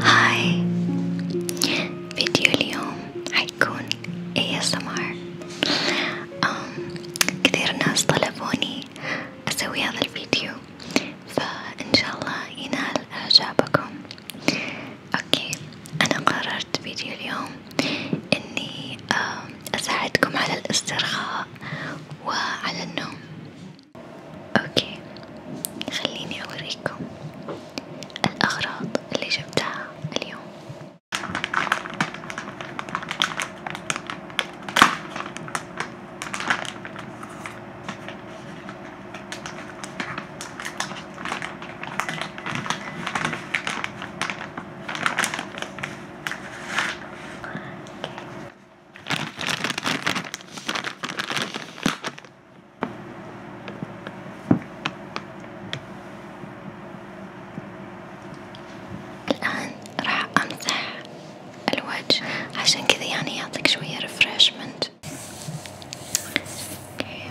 هاي فيديو اليوم حيكون ASMR كثير ناس طلبوني اسوي هذا الفيديو فان شاء الله ينال اعجابكم اوكي انا قررت فيديو اليوم إني أساعدكم على الاسترخاء وعلى النوم، أوكي خليني أوريكم الأغراض اللي جبتها اليوم. الآن راح أمسح الوجه عشان كذا يعني يعطيك شوية ريفرشمنت. اوكي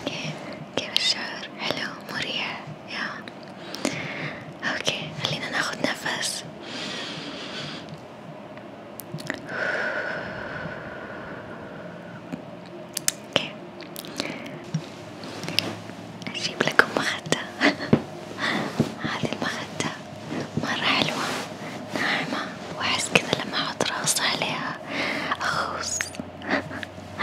اوكي كيف الشعور؟ حلو مريح يا اوكي خلينا ناخد نفس اوكي اجيب لكم مخدة هذه المخدة مرة حلوة ناعمة وأحس كذا لما أحط راسي عليها أخوص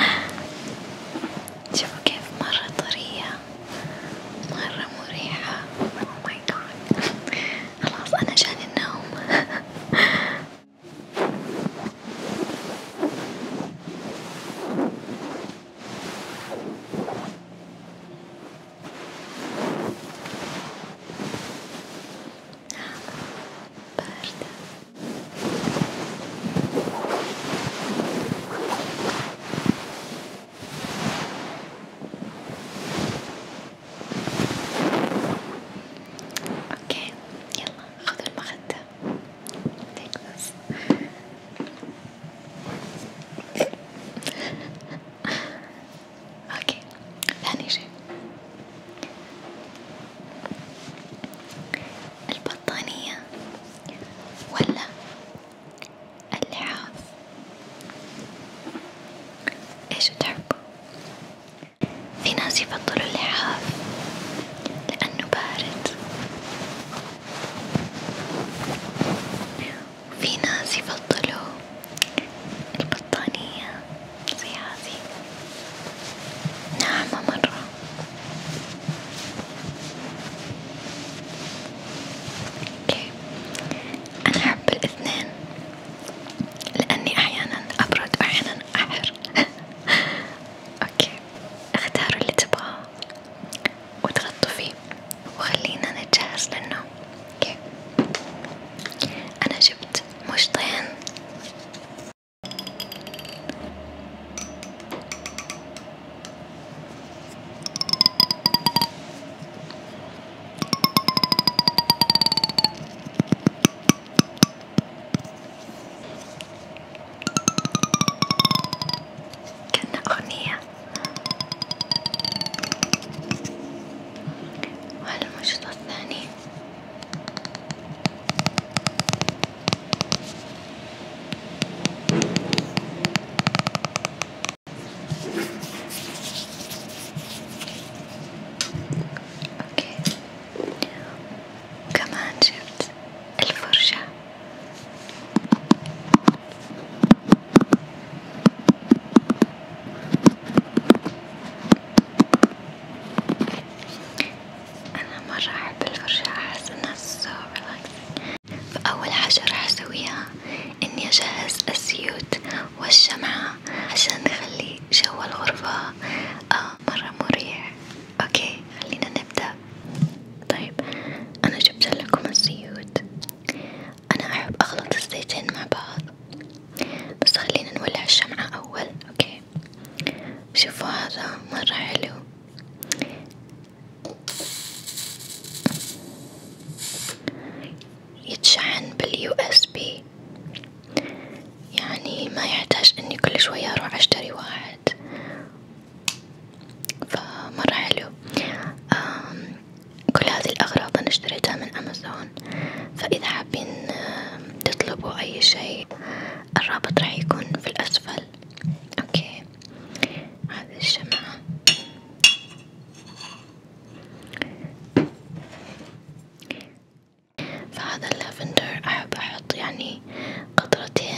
شوفوا كيف مرة طرية مرة مريحة oh my god خلاص أنا جاني النوم باردة اوكي يلا خذوا المخدة take this اوكي ثاني شي البطانية ولا اللحاف ايش تحبوا؟ في ناس يفضلوا اللحاف لأنه بارد وفي ناس يفضلوا البطانية زي هذه ناعمة مرة اوكي أنا أحب الاثنين لأني أحيانا أبرد وأحيانا أحر اوكي اختاروا اللي تبغاه وتغطوا فيه وخلينا نتجهز للنوم اوكي انا جبت مشطين كأنها أغنية وعلى المشروط الثاني اوكي وكمان جبت الفرشة أنا مرة أحب الفرشاة أحس إنها so relaxing فأول حاجة راح أسويها إني أجهز الزيوت والشمعة عشان نخلي جو الغرفة آه مرة مريح أوكي خلينا نبدأ طيب أنا جبت لكم الزيوت أنا أحب أخلط الزيتين مع بعض بس خلينا نولع الشمعة أول أوكي شوفوا هذا مرة حلو يتشحن باليو اس بي يعني ما يحتاج اني كل شوية اروح اشتري واحد فمرة حلو كل هذه الأغراض أنا اشتريتها من أمازون فإذا حابين تطلبوا أي شيء الرابط راح يكون في الأسفل أوكي هذه الشمعة فهذا اللافندر أحب أحط يعني قطرتين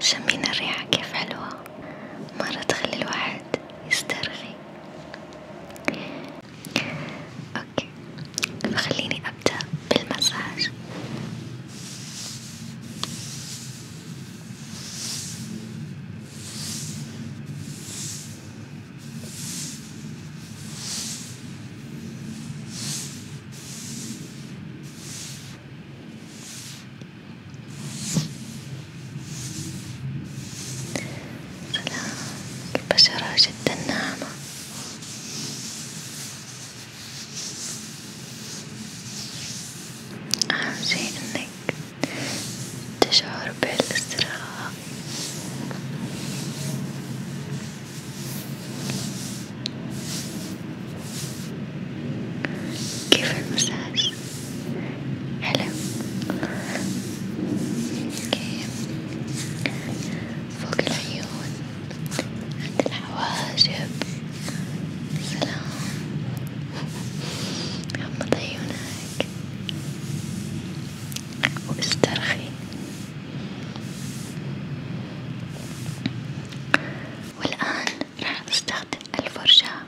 شمين الريحة كيف حلوة مرة تخلي الواحد يسترخي اوكي فخليني ابدأ بالمساج سلام البشرة جدا ناعمة أهم شي إنك تشعر بالاسترخاء كيف المساج؟ حلو اوكي فوق العيون عند الحواجب سلام غمض عيونك واسترخي والآن راح أستخدم الفرشاة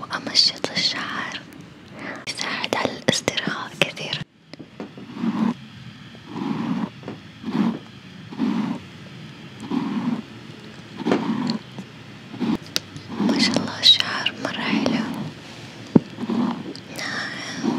وأمشط الشعر يساعد على الاسترخاء كثيرا ما شاء الله الشعر مرة حلو ناعم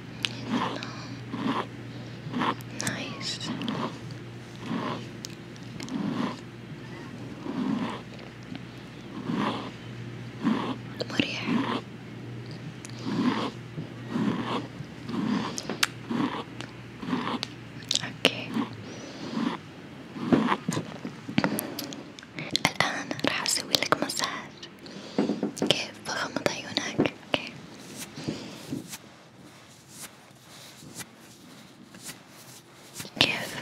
Hello. Nice. مريح اوكي الان راح اسوي لك مساج كيف بغمض عيونك اوكي كيف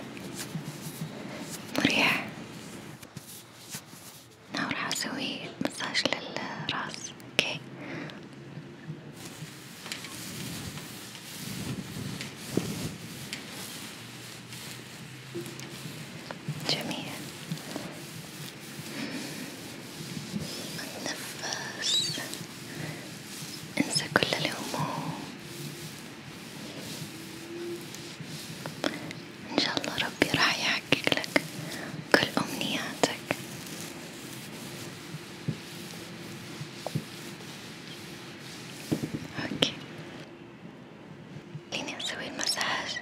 مريح أنا راح أسوي مساج للراس أوكي جميل النفس انسى كل الهموم ان شاء الله ربي راح يحقق لك كل امنياتك اوكي خليني اسوي المساج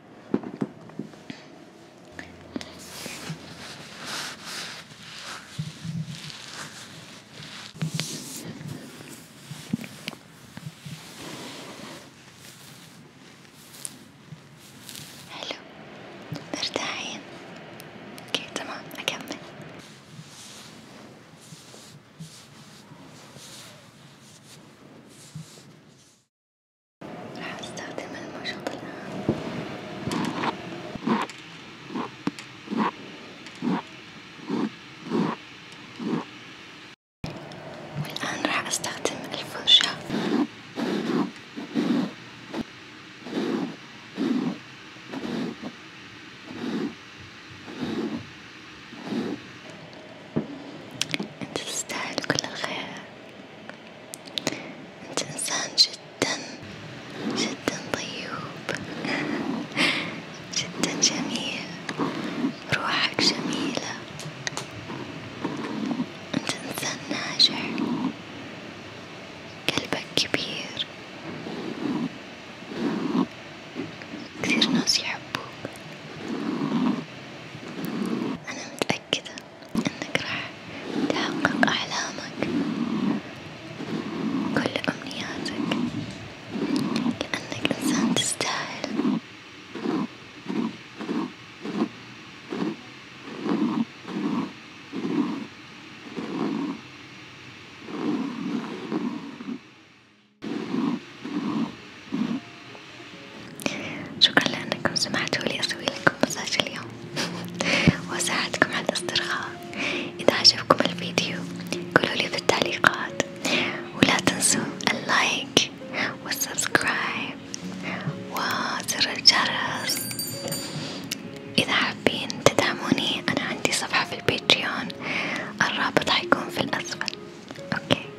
حلو مرتاحين اوكي تمام اكمل راح استخدم المشط الآن والآن راح استخدم الفرشة انت تستاهل كل الخير انت انسان جدا جدا طيوب جدا جميل روحك جميلة انت انسان ناجح قلبك كبير كثير ناس يحبوك أنا متأكدة إنك راح تحقق أحلامك وكل أمنياتك لأنك إنسان تستاهل شكرا لأنكم سمحتوا لي أسوي لكم مساج اليوم وأساعدكم على الاسترخاء، إذا عجبكم الفيديو قولولي في التعليقات، ولا تنسوا اللايك والسبسكرايب وزر الجرس، إذا حابين تدعموني أنا عندي صفحة في الباتريون، الرابط حيكون في الأسفل، أوكي.